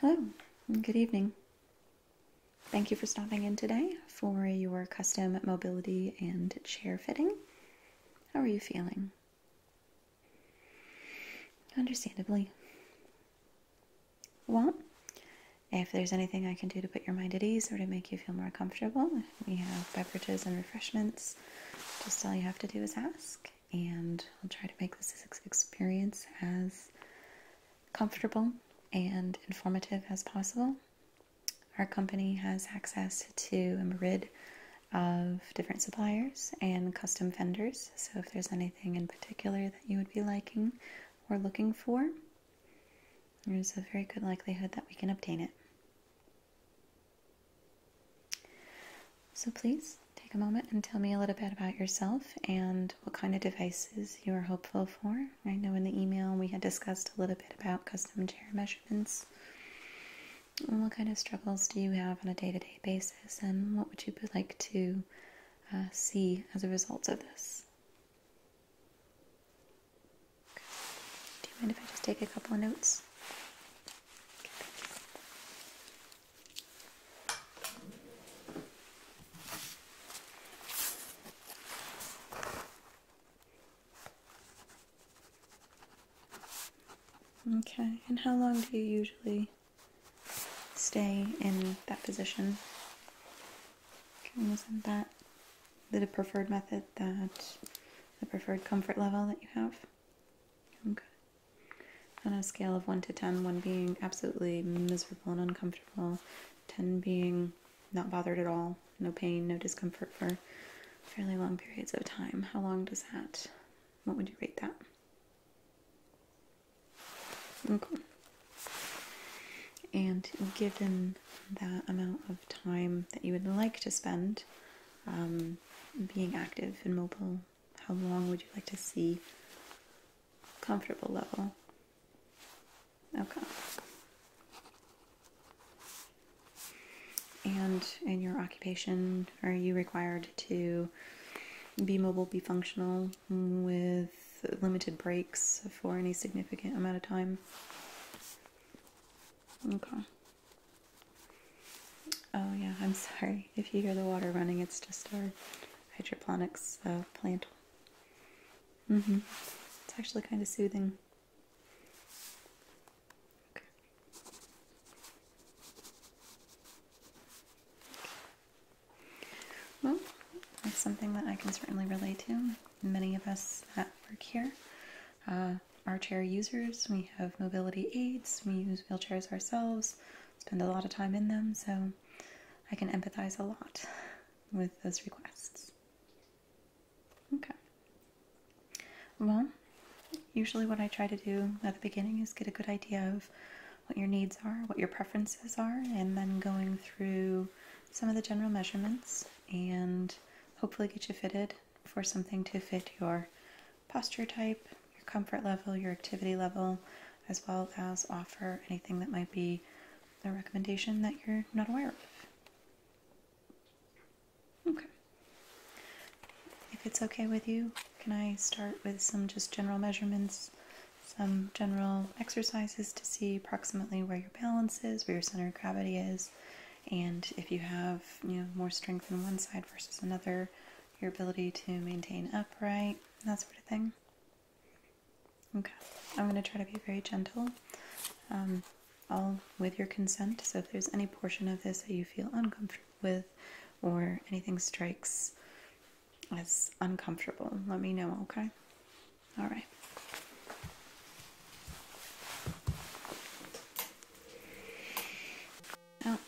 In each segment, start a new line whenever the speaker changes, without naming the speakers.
Hello, good evening. Thank you for stopping in today for your custom mobility and chair fitting. How are you feeling? Understandably. Well, if there's anything I can do to put your mind at ease or to make you feel more comfortable, we have beverages and refreshments. Just all you have to do is ask, and I'll try to make this experience as comfortable and informative as possible. Our company has access to a myriad of different suppliers and custom vendors, so if there's anything in particular that you would be liking or looking for, there's a very good likelihood that we can obtain it. So please take a moment and tell me a little bit about yourself and what kind of devices you are hopeful for. I know in the email we had discussed a little bit about custom chair measurements. And what kind of struggles do you have on a day to day basis, and what would you like to uh, see as a result of this? Do you mind if I just take a couple of notes? Okay, and how long do you usually stay in that position? isn't that the preferred method that the preferred comfort level that you have? Okay. On a scale of 1 to 10, 1 being absolutely miserable and uncomfortable, 10 being not bothered at all, no pain, no discomfort for fairly long periods of time. How long does that? What would you rate that? Okay. And given that amount of time that you would like to spend um, being active and mobile how long would you like to see? Comfortable level. Okay. And in your occupation, are you required to be mobile, be functional with limited breaks for any significant amount of time? Okay. Oh yeah, I'm sorry. If you hear the water running, it's just our hydroponics uh, plant. Mm-hmm. It's actually kind of soothing. Well, that's something that I can certainly relate to. Many of us that work here uh, are chair users. We have mobility aids. We use wheelchairs ourselves spend a lot of time in them, so I can empathize a lot with those requests. Okay. Well, usually what I try to do at the beginning is get a good idea of what your needs are, what your preferences are, and then going through some of the general measurements and hopefully get you fitted for something to fit your posture type, your comfort level, your activity level, as well as offer anything that might be a recommendation that you're not aware of. Okay. If it's okay with you, can I start with some just general measurements, some general exercises to see approximately where your balance is, where your center of gravity is, and if you have you know more strength in one side versus another, your ability to maintain upright, that sort of thing. Okay, I'm going to try to be very gentle, um, all with your consent. So if there's any portion of this that you feel uncomfortable with, or anything strikes as uncomfortable, let me know, okay? All right. Oh,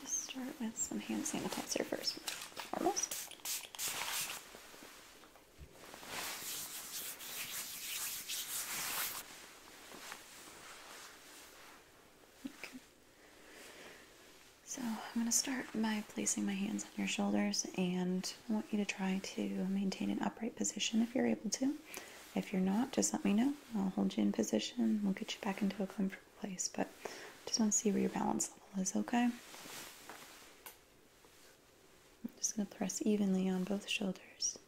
just start with some hand sanitizer first. Almost. Okay. So I'm going to start by placing my hands on your shoulders, and I want you to try to maintain an upright position if you're able to. If you're not, just let me know. I'll hold you in position. We'll get you back into a comfortable place. But just want to see where your balance level is, okay? I'm just going to press evenly on both shoulders.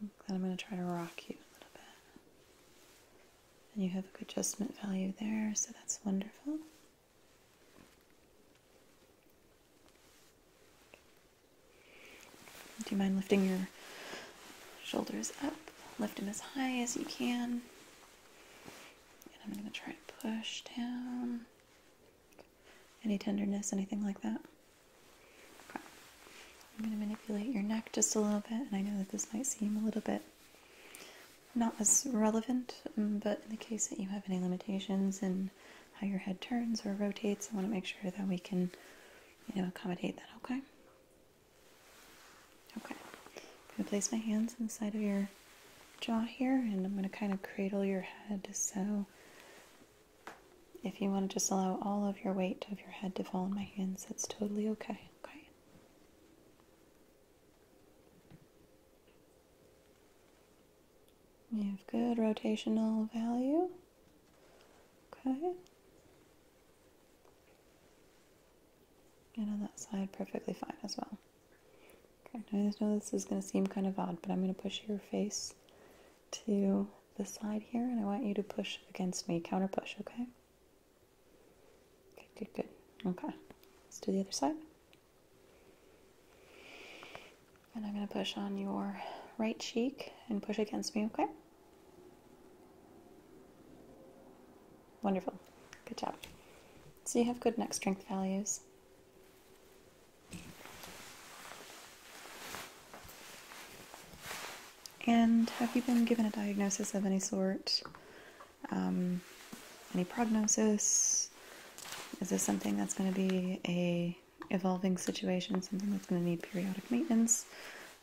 Then I'm going to try to rock you a little bit. And you have a adjustment value there, so that's wonderful. Do you mind lifting your shoulders up? Lift them as high as you can. And I'm going to try to push down. Any tenderness, anything like that? I'm going to manipulate your neck just a little bit, and I know that this might seem a little bit not as relevant, um, but in the case that you have any limitations in how your head turns or rotates, I want to make sure that we can, you know, accommodate that, okay? Okay. I'm going to place my hands on the side of your jaw here and I'm going to kind of cradle your head. So if you want to just allow all of your weight of your head to fall in my hands, that's totally okay. Okay. You have good rotational value. Okay. And on that side, perfectly fine as well. Okay, now I know this is going to seem kind of odd, but I'm going to push your face to the side here, and I want you to push against me, counter push, okay? Good, good. Okay, let's do the other side. And I'm going to push on your right cheek and push against me, okay? Wonderful. Good job. So you have good neck strength values. And have you been given a diagnosis of any sort? Um, any prognosis? Is this something that's going to be a evolving situation, something that's going to need periodic maintenance?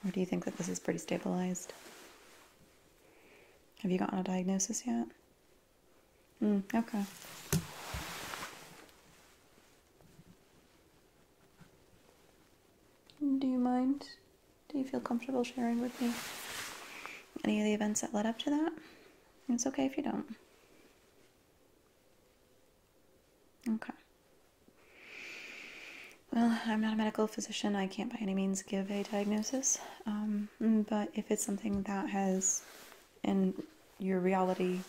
Or do you think that this is pretty stabilized? Have you gotten a diagnosis yet? Mm, okay. Do you mind? Do you feel comfortable sharing with me any of the events that led up to that? It's okay if you don't. Okay. Well, I'm not a medical physician. I can't by any means give a diagnosis. Um, but if it's something that has, in your reality,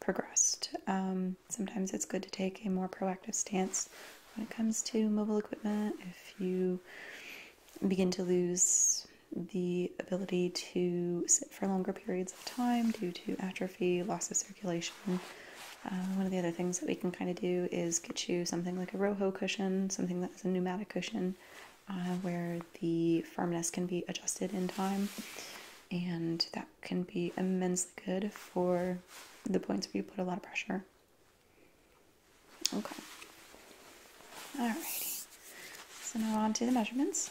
progressed, um, sometimes it's good to take a more proactive stance when it comes to mobile equipment. If you begin to lose the ability to sit for longer periods of time due to atrophy, loss of circulation, uh, one of the other things that we can kind of do is get you something like a Roho cushion, something that's a pneumatic cushion, uh, where the firmness can be adjusted in time, and that can be immensely good for the points where you put a lot of pressure. Okay. righty. So now on to the measurements.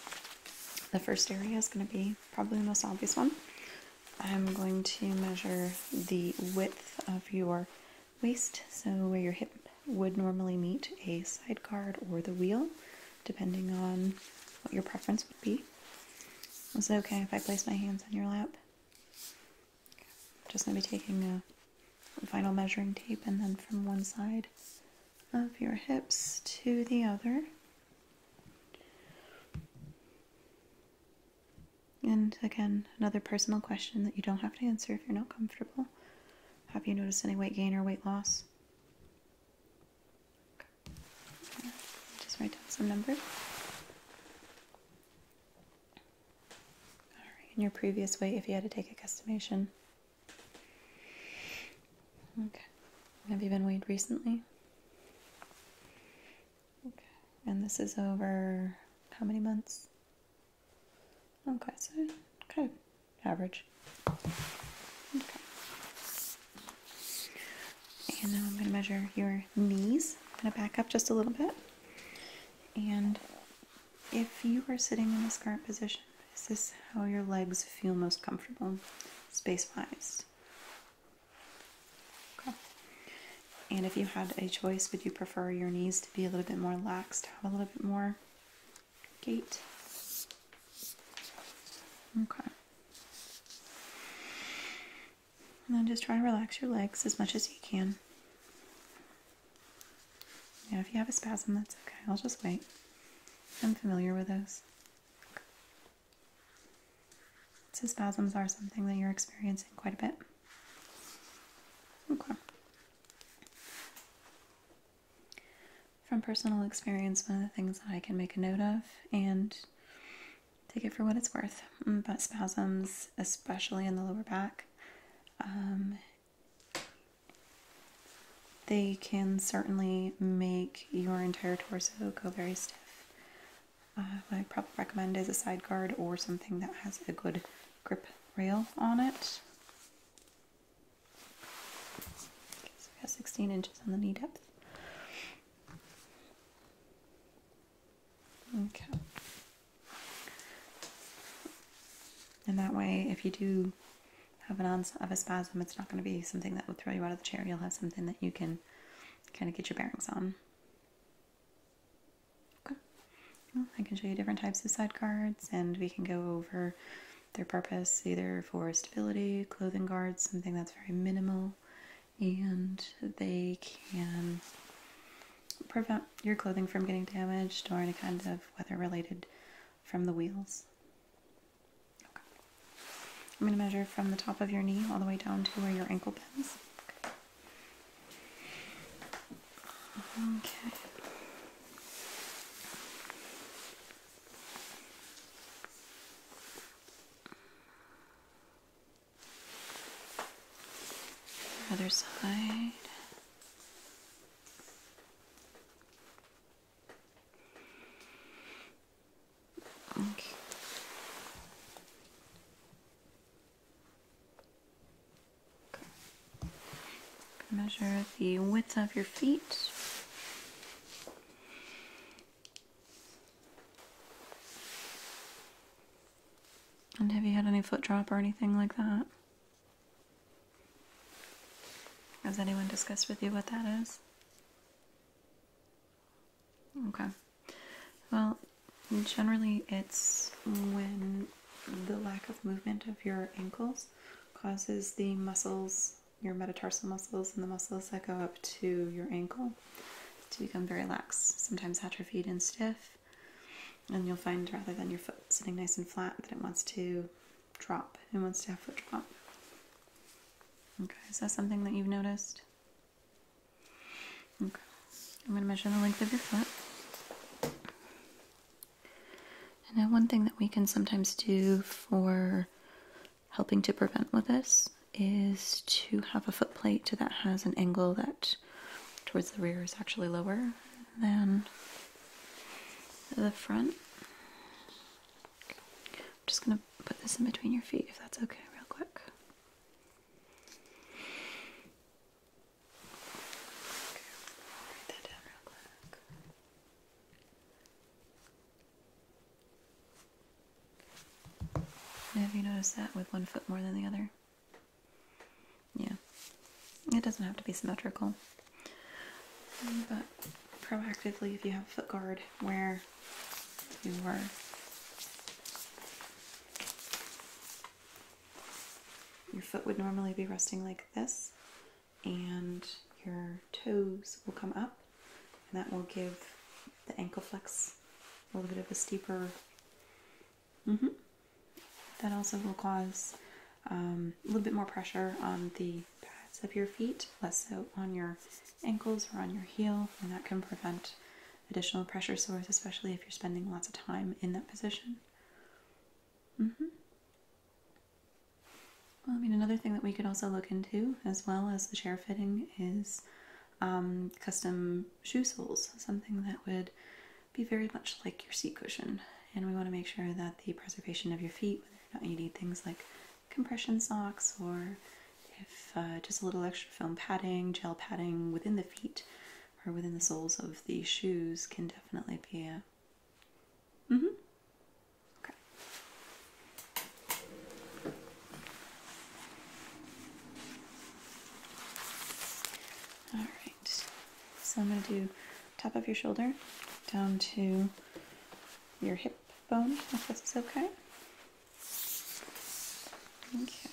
The first area is going to be probably the most obvious one. I'm going to measure the width of your waist, so where your hip would normally meet a side guard or the wheel, depending on what your preference would be. Is it okay if I place my hands on your lap? Just going to be taking a vinyl measuring tape and then from one side of your hips to the other. And again, another personal question that you don't have to answer if you're not comfortable. Have you noticed any weight gain or weight loss? Just write down some numbers. All right, and your previous weight if you had to take a guesstimation. Okay. Have you been weighed recently? Okay. And this is over how many months? Okay, so kind of average. And now I'm going to measure your knees. going to back up just a little bit. And if you are sitting in this current position, is this how your legs feel most comfortable space wise? Okay. And if you had a choice, would you prefer your knees to be a little bit more laxed, have a little bit more gait? Okay. And then just try and relax your legs as much as you can. Yeah, if you have a spasm, that's okay. I'll just wait. I'm familiar with those. So spasms are something that you're experiencing quite a bit. Okay. From personal experience, one of the things that I can make a note of and take it for what it's worth, mm, but spasms, especially in the lower back, um, they can certainly make your entire torso go very stiff uh, I probably recommend is a side guard or something that has a good grip rail on it. Okay, so we have 16 inches on the knee depth. Okay. And that way, if you do have an onset of a spasm, it's not going to be something that will throw you out of the chair. You'll have something that you can kind of get your bearings on. Okay. I can show you different types of side guards and we can go over their purpose either for stability, clothing guards, something that's very minimal, and they can prevent your clothing from getting damaged or any kind of weather related from the wheels. Okay. I'm going to measure from the top of your knee all the way down to where your ankle bends. Okay. Other side. Okay. okay. Measure the width of your feet. And have you had any foot drop or anything like that? Has anyone discussed with you what that is? Okay. Well, generally it's when the lack of movement of your ankles causes the muscles, your metatarsal muscles and the muscles that go up to your ankle to become very lax, sometimes atrophied and stiff. And you'll find rather than your foot sitting nice and flat that it wants to drop. It wants to have foot drop. Okay, is that something that you've noticed? Okay. I'm going to measure the length of your foot. And then one thing that we can sometimes do for helping to prevent with this is to have a foot plate that has an angle that towards the rear is actually lower than the front. I'm just going to put this in between your feet if that's okay real quick have you noticed that with one foot more than the other? Yeah. It doesn't have to be symmetrical. But proactively, if you have foot guard, wear you were. Your foot would normally be resting like this, and your toes will come up, and that will give the ankle flex a little bit of a steeper. -hmm. That also will cause um, a little bit more pressure on the pads of your feet, less so on your ankles or on your heel, and that can prevent additional pressure sores, especially if you're spending lots of time in that position. Mm-hmm. Well, I mean, another thing that we could also look into, as well as the chair fitting, is um, custom shoe soles, something that would be very much like your seat cushion. And we want to make sure that the preservation of your feet, you need things like compression socks or if uh, just a little extra foam padding, gel padding within the feet or within the soles of the shoes can definitely be a. Mm hmm. Okay. All right. So I'm going to do top of your shoulder down to your hip bone, if this is okay. Okay.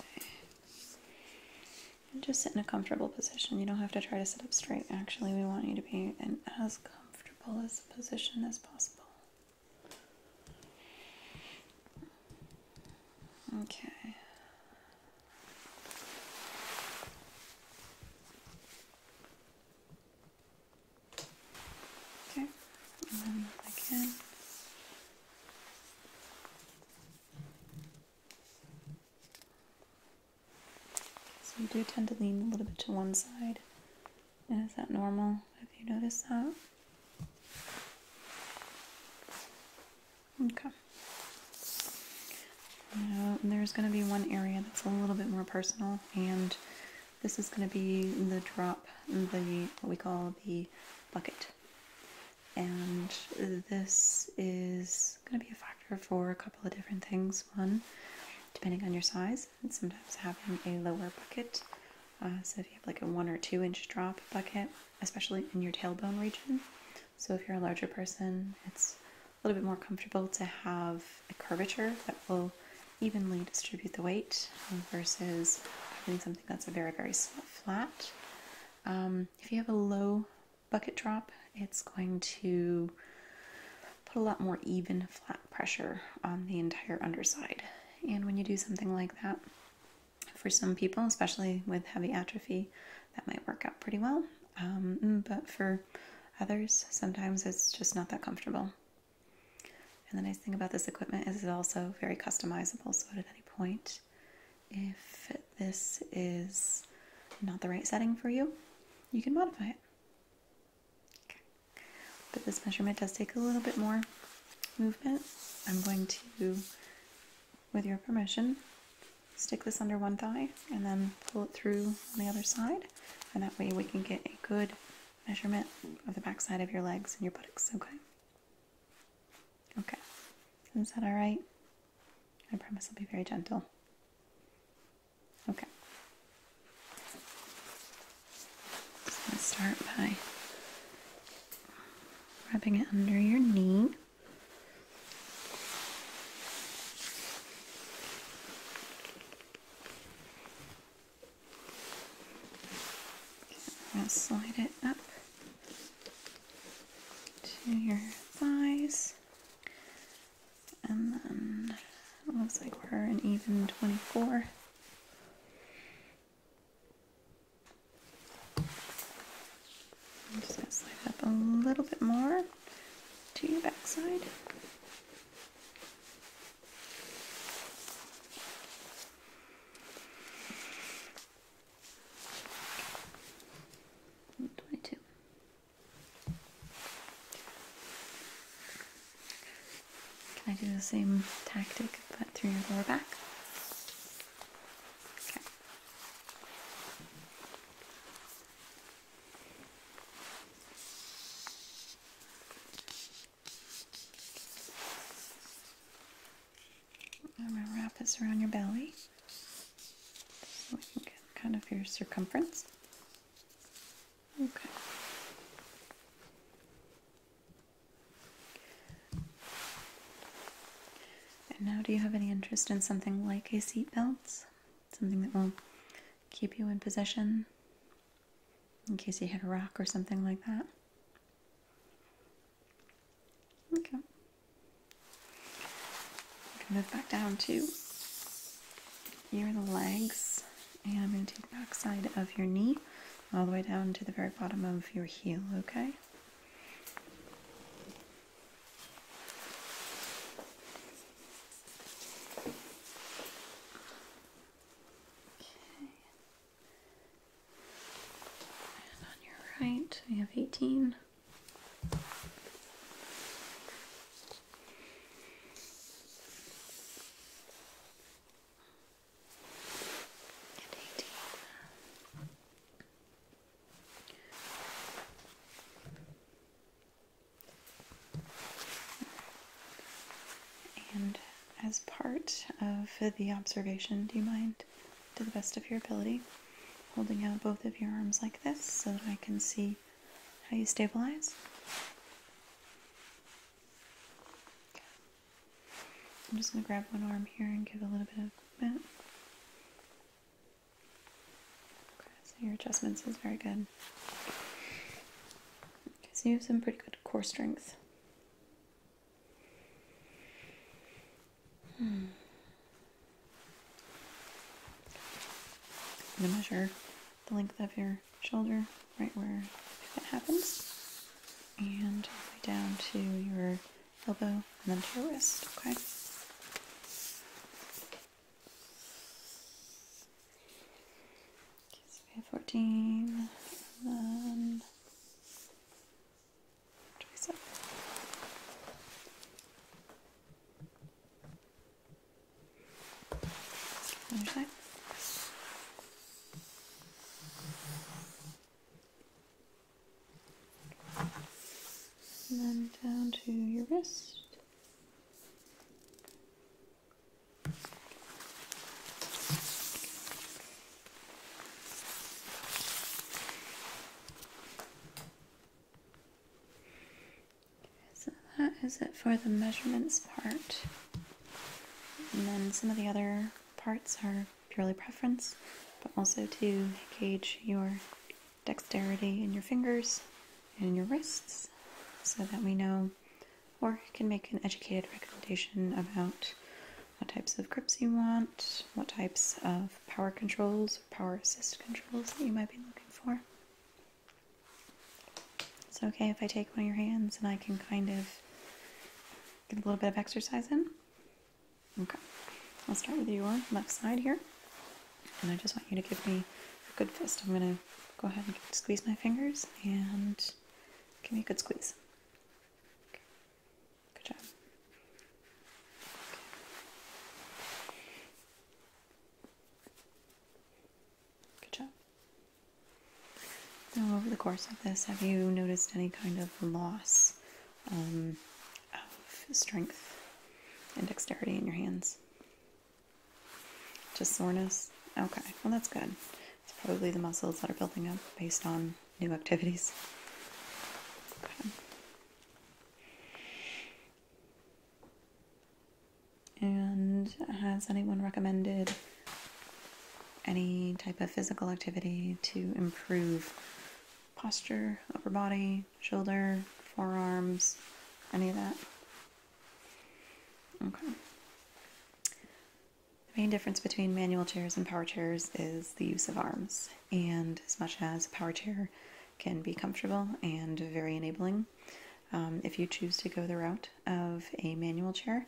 just sit in a comfortable position. You don't have to try to sit up straight. Actually, we want you to be in as comfortable as a position as possible. Okay. Okay, and then back in. So you do tend to lean a little bit to one side. And is that normal? Have you noticed that? Okay. Now, there's going to be one area that's a little bit more personal and this is going to be the drop, the what we call the bucket. And this is going to be a factor for a couple of different things. One, depending on your size, and sometimes having a lower bucket. Uh, so if you have like a one or two inch drop bucket, especially in your tailbone region. So if you're a larger person, it's a little bit more comfortable to have a curvature that will evenly distribute the weight um, versus having something that's a very, very flat. Um, if you have a low bucket drop, it's going to put a lot more even flat pressure on the entire underside. And when you do something like that, for some people, especially with heavy atrophy, that might work out pretty well. Um, but for others, sometimes it's just not that comfortable. And the nice thing about this equipment is it's also very customizable. So at any point, if this is not the right setting for you, you can modify it. But this measurement does take a little bit more movement. I'm going to, with your permission, stick this under one thigh and then pull it through on the other side. And that way we can get a good measurement of the backside of your legs and your buttocks, okay? Okay. Is that all right? I promise I'll be very gentle. Okay. Just gonna start by rubbing it under your knee. I'll slide it up to your thighs. And then it looks like we're an even 24. just going to slide up a little bit more to your backside. 22. Can I do the same tactic but through your lower back? Okay. I'm going to wrap this around your belly so we can get kind of your circumference. Okay. And now, do you have any interest in something like a seatbelt? Something that will keep you in position in case you hit a rock or something like that. Okay. move back down to your legs, and I'm going to take the back side of your knee all the way down to the very bottom of your heel, okay? Okay. And on your right, we have 18. And 18. And as part of the observation, do you mind, to the best of your ability, holding out both of your arms like this so that I can see how you stabilize? I'm just going to grab one arm here and give a little bit of that. so your adjustments is very good. Okay, so you have some pretty good core strength. I'm hmm. going to measure the length of your shoulder right where that happens and down to your elbow and then to your wrist, okay? so we have 14 and um, then 27. Other side. And then down to your wrist. So that is it for the measurements part. And then some of the other parts are purely preference, but also to gauge your dexterity in your fingers and your wrists so that we know or can make an educated recommendation about what types of grips you want, what types of power controls power assist controls that you might be looking for. It's okay if I take one of your hands and I can kind of get a little bit of exercise in. Okay, I'll start with your left side here, and I just want you to give me a good fist. I'm gonna go ahead and squeeze my fingers and give me a good squeeze. Good job. Good job. Now, over the course of this, have you noticed any kind of loss um, of strength and dexterity in your hands? Just soreness? Okay, well, that's good. It's probably the muscles that are building up based on new activities. And has anyone recommended any type of physical activity to improve posture, upper body, shoulder, forearms, any of that? Okay. The main difference between manual chairs and power chairs is the use of arms, and as much as a power chair can be comfortable and very enabling, um, if you choose to go the route of a manual chair,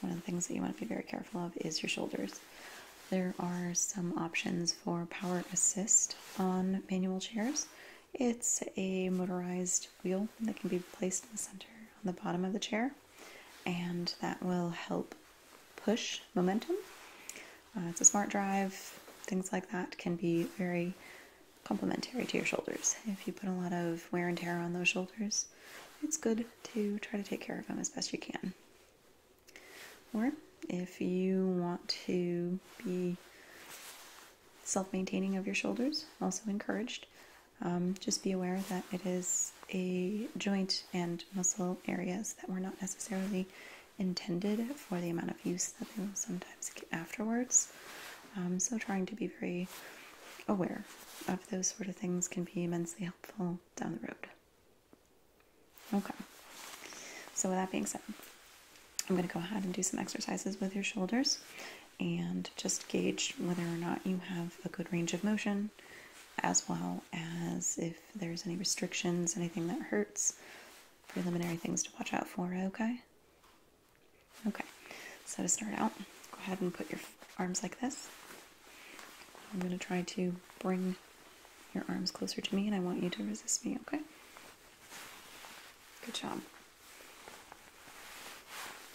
one of the things that you want to be very careful of is your shoulders. There are some options for power assist on manual chairs. It's a motorized wheel that can be placed in the center on the bottom of the chair and that will help push momentum. Uh, it's a smart drive, things like that can be very complimentary to your shoulders. If you put a lot of wear and tear on those shoulders, it's good to try to take care of them as best you can. Or if you want to be self maintaining of your shoulders, also encouraged. Um, just be aware that it is a joint and muscle areas that were not necessarily intended for the amount of use that they will sometimes get afterwards. Um, so, trying to be very aware of those sort of things can be immensely helpful down the road. Okay, so with that being said, I'm going to go ahead and do some exercises with your shoulders and just gauge whether or not you have a good range of motion, as well as if there's any restrictions, anything that hurts, preliminary things to watch out for, okay? Okay, so to start out, go ahead and put your arms like this. I'm going to try to bring your arms closer to me, and I want you to resist me, okay? Good job.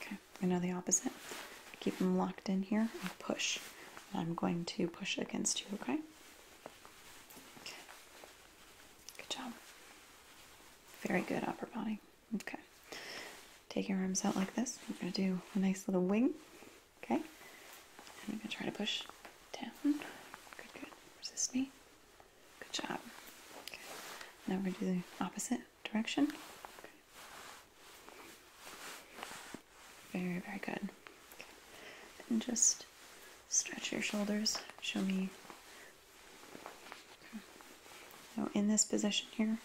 Okay. Okay, I'm the opposite. Keep them locked in here push. I'm going to push against you, okay? Good job. Very good upper body. Okay. Take your arms out like this. I'm going to do a nice little wing. Okay. I'm going to try to push down. Good, Resist me. Good job. Okay. Now we're going to do the opposite direction. Very, very good. And just stretch your shoulders. Show me. Okay. in this position here,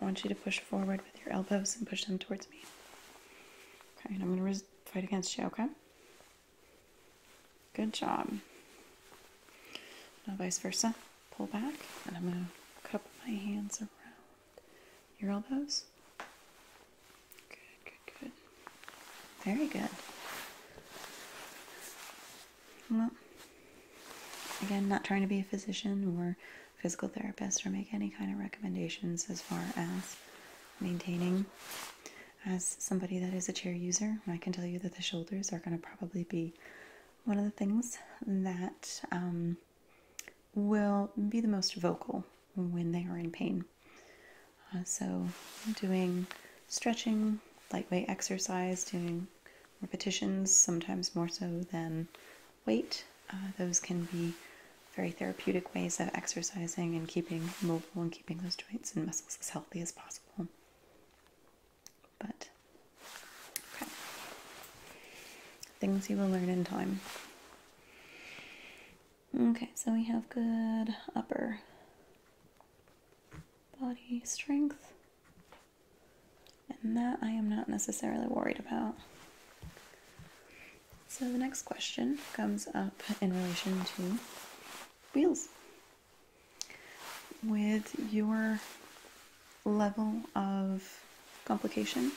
I want you to push forward with your elbows and push them towards me. Okay, and I'm going to fight against you, okay? Good job. Now, vice versa pull back, and I'm going to cup my hands around your elbows. Good, good, good. Very good. Well, again, not trying to be a physician or physical therapist or make any kind of recommendations as far as maintaining. As somebody that is a chair user, I can tell you that the shoulders are going to probably be one of the things that um, will be the most vocal when they are in pain. Uh, so, doing stretching, lightweight exercise, doing repetitions, sometimes more so than weight, uh, those can be very therapeutic ways of exercising and keeping mobile and keeping those joints and muscles as healthy as possible. But okay. Things you will learn in time. Okay, so we have good upper body strength. And that I am not necessarily worried about. So the next question comes up in relation to wheels. With your level of complication.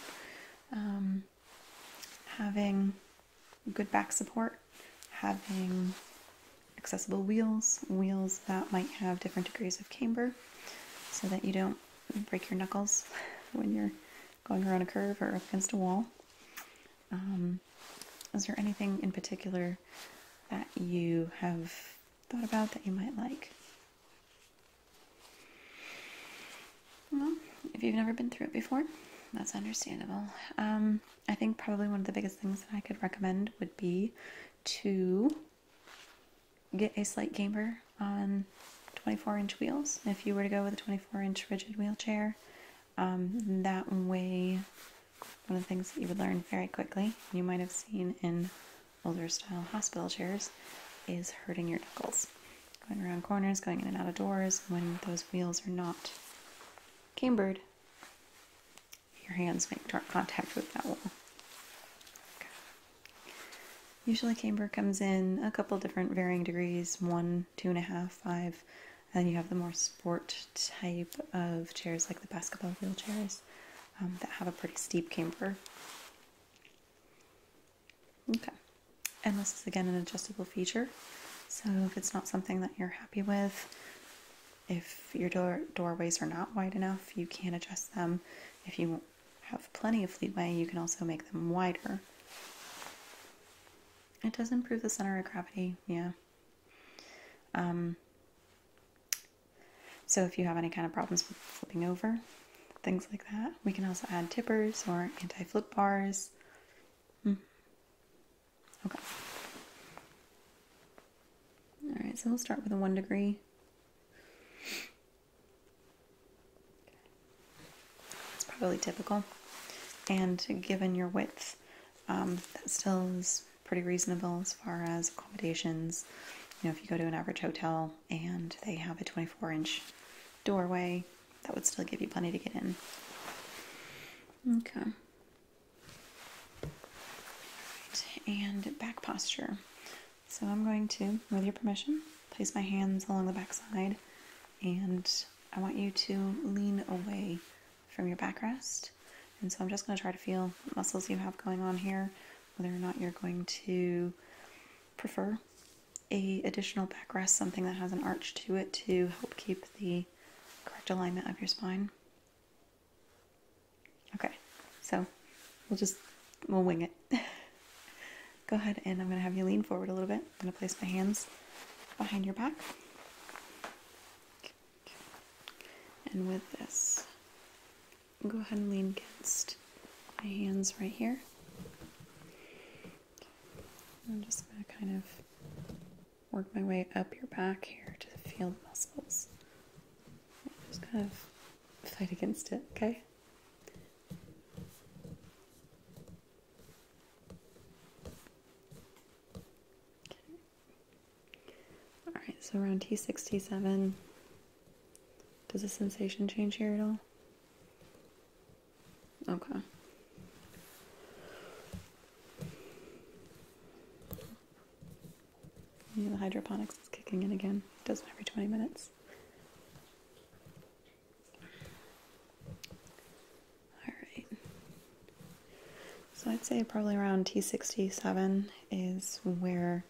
Um, having good back support, having accessible wheels, wheels that might have different degrees of camber so that you don't break your knuckles when you're going around a curve or up against a wall. Um, is there anything in particular that you have thought about that you might like? Well, if you've never been through it before, that's understandable. Um, I think probably one of the biggest things that I could recommend would be to get a slight camber on 24 inch wheels. If you were to go with a 24 inch rigid wheelchair, um, that way, one of the things that you would learn very quickly, you might have seen in older style hospital chairs is hurting your knuckles. Going around corners, going in and out of doors, when those wheels are not cambered, your hands make direct contact with that wall. Usually camber comes in a couple different varying degrees, one, two and a half, five, and you have the more sport type of chairs like the basketball wheelchairs um, that have a pretty steep camber. Okay, and this is again an adjustable feature. So if it's not something that you're happy with, if your door doorways are not wide enough, you can adjust them. If you have plenty of leeway, you can also make them wider. It does improve the center of gravity, yeah. Um, so if you have any kind of problems with flipping over, things like that, we can also add tippers or anti-flip bars. Hmm. Okay. All right, so we'll start with a one degree. It's probably typical. And given your width, um, that still is pretty reasonable as far as accommodations. You know, if you go to an average hotel and they have a 24 inch doorway, that would still give you plenty to get in. Okay. And back posture. So I'm going to, with your permission, place my hands along the back side and I want you to lean away from your backrest. And so I'm just going to try to feel muscles you have going on here whether or not you're going to prefer a additional backrest, something that has an arch to it to help keep the correct alignment of your spine. Okay, so we'll just, we'll wing it. Go ahead and I'm gonna have you lean forward a little bit. I'm gonna place my hands behind your back. And with this, go ahead and lean against my hands right here. I'm just going to kind of work my way up your back here to the field muscles. Just kind of fight against it, okay? All right, so around T67, does the sensation change here at all? Okay. the hydroponics is kicking in again. It does every 20 minutes. Alright. So I'd say probably around T67 is where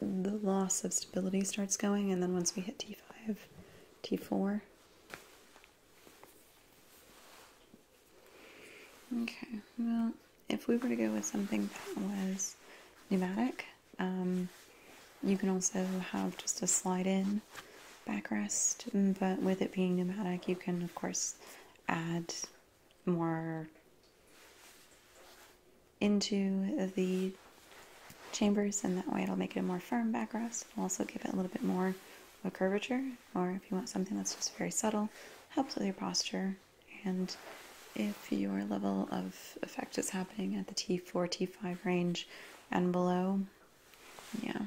the loss of stability starts going, and then once we hit T5, T4. Okay, well, if we were to go with something that was pneumatic, um, you can also have just a slide in backrest, but with it being pneumatic, you can, of course, add more into the chambers and that way it'll make it a more firm backrest. also give it a little bit more of curvature or if you want something that's just very subtle, helps with your posture and if your level of effect is happening at the T4, T5 range and below, yeah.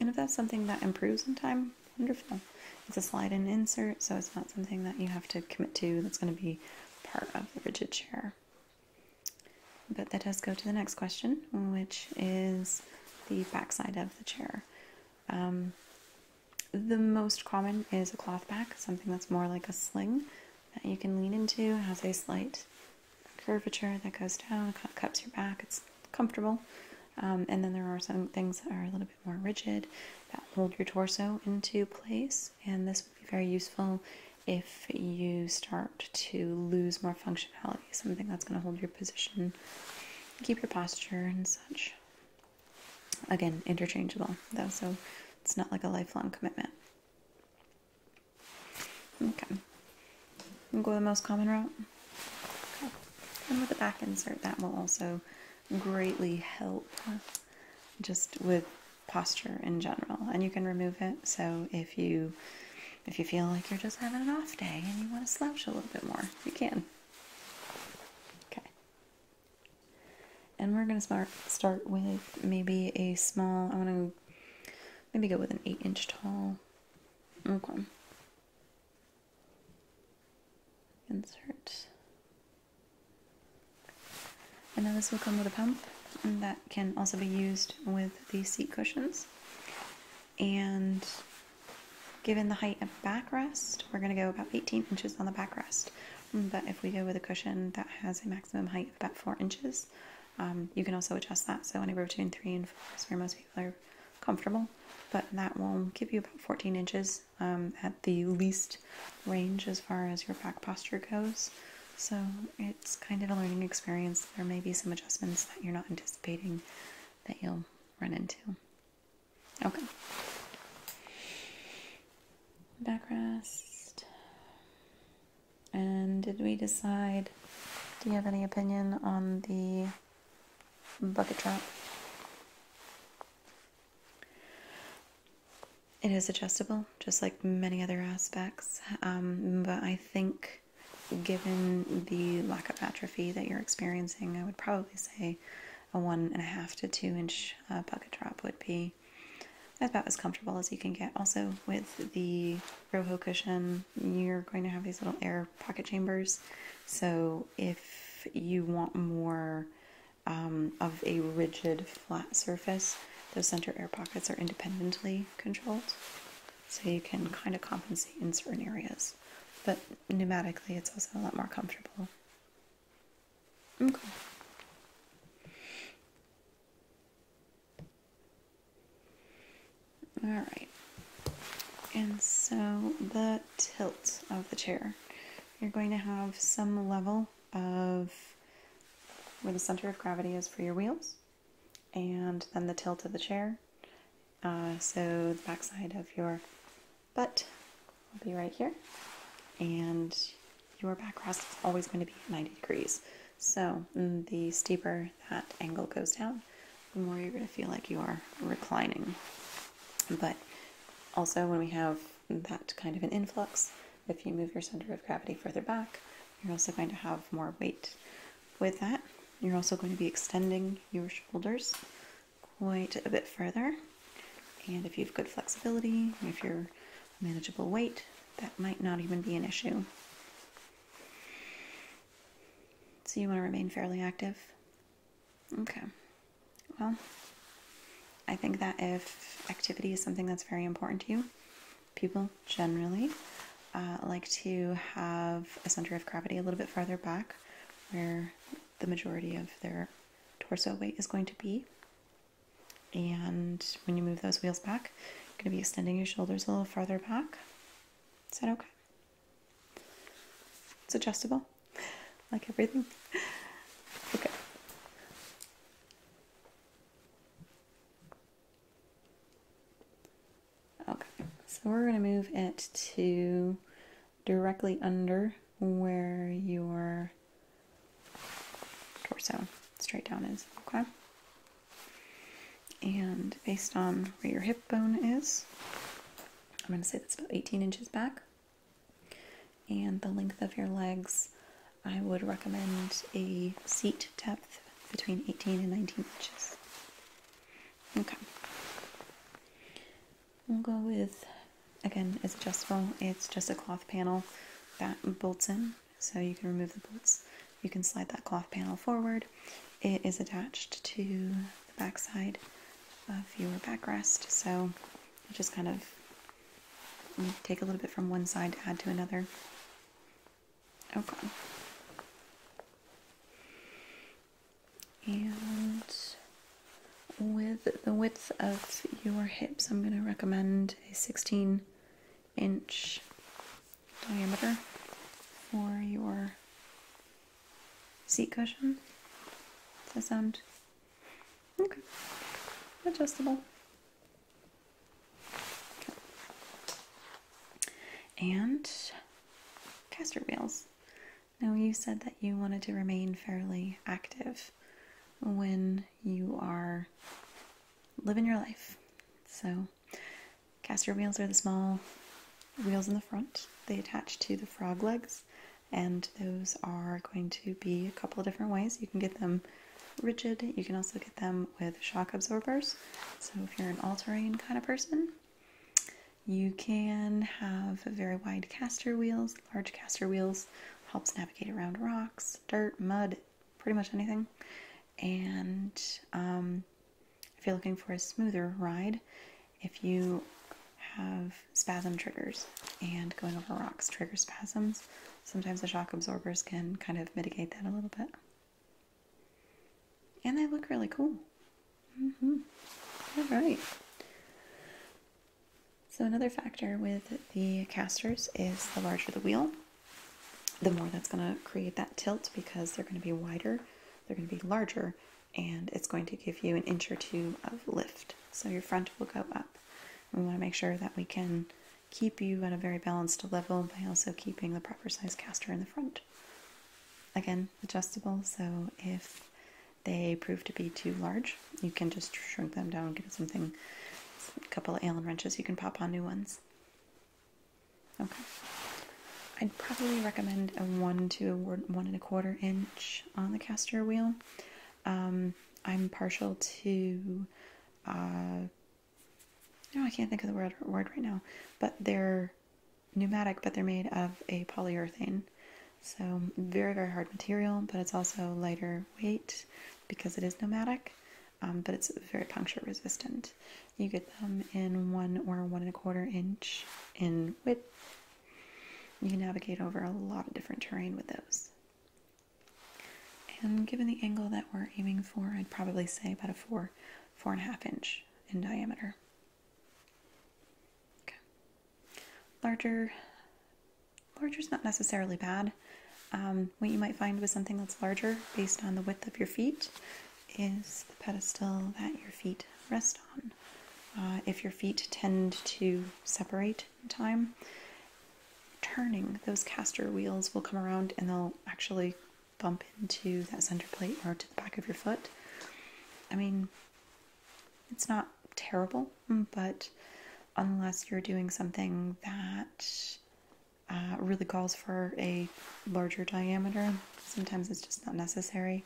And if that's something that improves in time, wonderful. It's a slide and insert, so it's not something that you have to commit to that's going to be part of the rigid chair. But that does go to the next question, which is the backside of the chair. Um, the most common is a cloth back, something that's more like a sling that you can lean into, has a slight curvature that goes down, cups your back, it's comfortable. Um, and then there are some things that are a little bit more rigid that hold your torso into place. And this would be very useful if you start to lose more functionality, something that's going to hold your position, keep your posture, and such. Again, interchangeable though, so it's not like a lifelong commitment. Okay, we'll go the most common route. And with the back insert, that will also greatly help just with posture in general. And you can remove it. So if you if you feel like you're just having an off day and you want to slouch a little bit more, you can. Okay. And we're going to start start with maybe a small. I want to maybe go with an eight inch tall. Okay. Insert and now this will come with a pump and that can also be used with the seat cushions. And given the height of backrest, we're going to go about 18 inches on the backrest. But if we go with a cushion that has a maximum height of about 4 inches, um, you can also adjust that. So anywhere between 3 and 4 is where most people are comfortable. But that will give you about 14 inches um, at the least range as far as your back posture goes. So it's kind of a learning experience. There may be some adjustments that you're not anticipating that you'll run into. Okay. back rest. And did we decide? Do you have any opinion on the bucket trap? It is adjustable, just like many other aspects, um, but I think given the lack of atrophy that you're experiencing, I would probably say a one and a half to two inch uh, bucket drop would be about as comfortable as you can get. Also, with the Roho cushion, you're going to have these little air pocket chambers. So, if you want more um, of a rigid flat surface, those center air pockets are independently controlled. So you can kind of compensate in certain areas. But pneumatically, it's also a lot more comfortable. Okay. All right. And so the tilt of the chair you're going to have some level of where the center of gravity is for your wheels, and then the tilt of the chair. Uh, so the backside of your butt will be right here, and your backrest is always going to be 90 degrees. So mm, the steeper that angle goes down, the more you're going to feel like you are reclining. But also, when we have that kind of an influx. If you move your center of gravity further back, you're also going to have more weight. With that, you're also going to be extending your shoulders quite a bit further. And if you have good flexibility, if you're manageable weight, that might not even be an issue. So you want to remain fairly active? Okay. Well, I think that if activity is something that's very important to you, people generally uh, like to have a center of gravity a little bit farther back where the majority of their torso weight is going to be. And when you move those wheels back, you're going to be extending your shoulders a little farther back. Is that okay? It's adjustable like everything. Okay. Okay, so we're going to move it to directly under where your torso straight down is, okay? And based on where your hip bone is, I'm going to say that's about 18 inches back and the length of your legs, I would recommend a seat depth between 18 and 19 inches. Okay. We'll go with, again, it's adjustable. It's just a cloth panel that bolts in, so you can remove the bolts. You can slide that cloth panel forward. It is attached to the backside of your backrest, so i just kind of mm, take a little bit from one side to add to another. Okay. Oh, and with the width of your hips, I'm going to recommend a 16 inch diameter for your seat cushion. Does that sound Okay. Adjustable. And caster wheels. Now, you said that you wanted to remain fairly active when you are living your life. So, caster wheels are the small wheels in the front, they attach to the frog legs and those are going to be a couple of different ways. You can get them rigid, you can also get them with shock absorbers. So, if you're an all terrain kind of person, you can have very wide caster wheels, large caster wheels, helps navigate around rocks, dirt, mud, pretty much anything. And um, if you're looking for a smoother ride, if you have spasm triggers and going over rocks trigger spasms. Sometimes the shock absorbers can kind of mitigate that a little bit. And they look really cool. Mm-hmm. All right. So, another factor with the casters is the larger the wheel, the more that's going to create that tilt because they're going to be wider, they're going to be larger, and it's going to give you an inch or two of lift. So, your front will go up. We want to make sure that we can keep you at a very balanced level by also keeping the proper size caster in the front. Again, adjustable, so if they prove to be too large, you can just shrink them down, give it something, a couple of Allen wrenches, you can pop on new ones. Okay. I'd probably recommend a one to one and a quarter inch on the caster wheel. Um, I'm partial to, uh, no, I can't think of the word, word right now, but they're pneumatic, but they're made of a polyurethane. So, very, very hard material, but it's also lighter weight because it is pneumatic, um, but it's very puncture resistant. You get them in one or one and a quarter inch in width you can navigate over a lot of different terrain with those. And given the angle that we're aiming for, I'd probably say about a four, four and a half inch in diameter. Okay. Larger, larger is not necessarily bad. Um, what you might find with something that's larger, based on the width of your feet, is the pedestal that your feet rest on. Uh, if your feet tend to separate time, turning those caster wheels will come around and they'll actually bump into that center plate or to the back of your foot. I mean, it's not terrible, but unless you're doing something that uh, really calls for a larger diameter, sometimes it's just not necessary.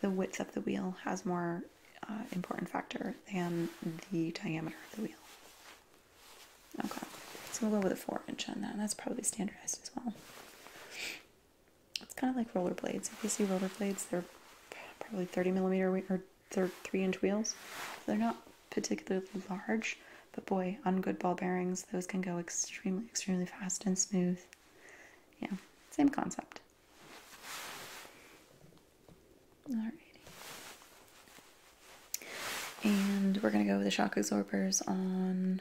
The width of the wheel has more uh, important factor than the diameter of the wheel. Okay, so we'll go with a 4 inch on that. that's probably standardized as well. It's kind of like rollerblades. If you see rollerblades, they're probably 30 millimeter or they're 3 inch wheels. they're not particularly large, but boy, on good ball bearings, those can go extremely, extremely fast and smooth. Yeah, same concept. Alrighty. And we're gonna go with the shock absorbers on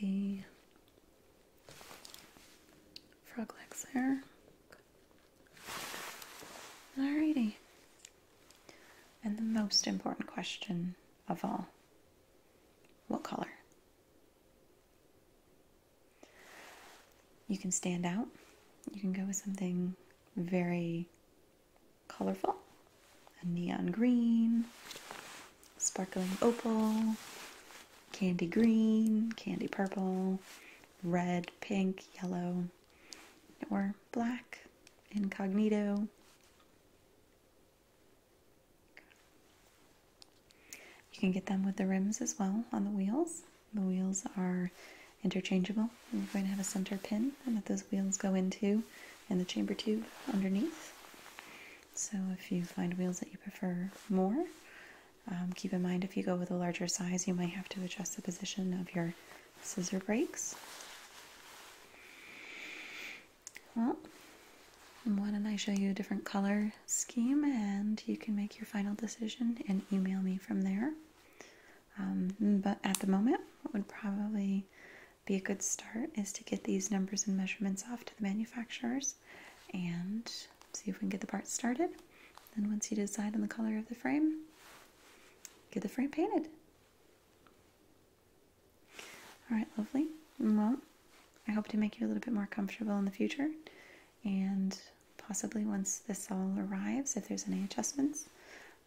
the frog legs there. Alrighty. And the most important question of all what color? You can stand out. You can go with something very colorful a neon green, sparkling opal, candy green, candy purple, red, pink, yellow, or black, incognito. You can get them with the rims as well on the wheels. The wheels are interchangeable. We're going to have a center pin that those wheels go into and the chamber tube underneath. So if you find wheels that you prefer more, um, keep in mind if you go with a larger size, you might have to adjust the position of your scissor brakes. Well, why don't I show you a different color scheme and you can make your final decision and email me from there. Um, but at the moment, what would probably be a good start is to get these numbers and measurements off to the manufacturers and see if we can get the parts started. Then, once you decide on the color of the frame, get the frame painted. All right, lovely. Well, I hope to make you a little bit more comfortable in the future and possibly once this all arrives, if there's any adjustments,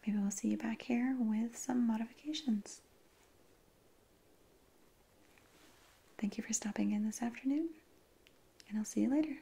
maybe we'll see you back here with some modifications. Thank you for stopping in this afternoon, and I'll see you later.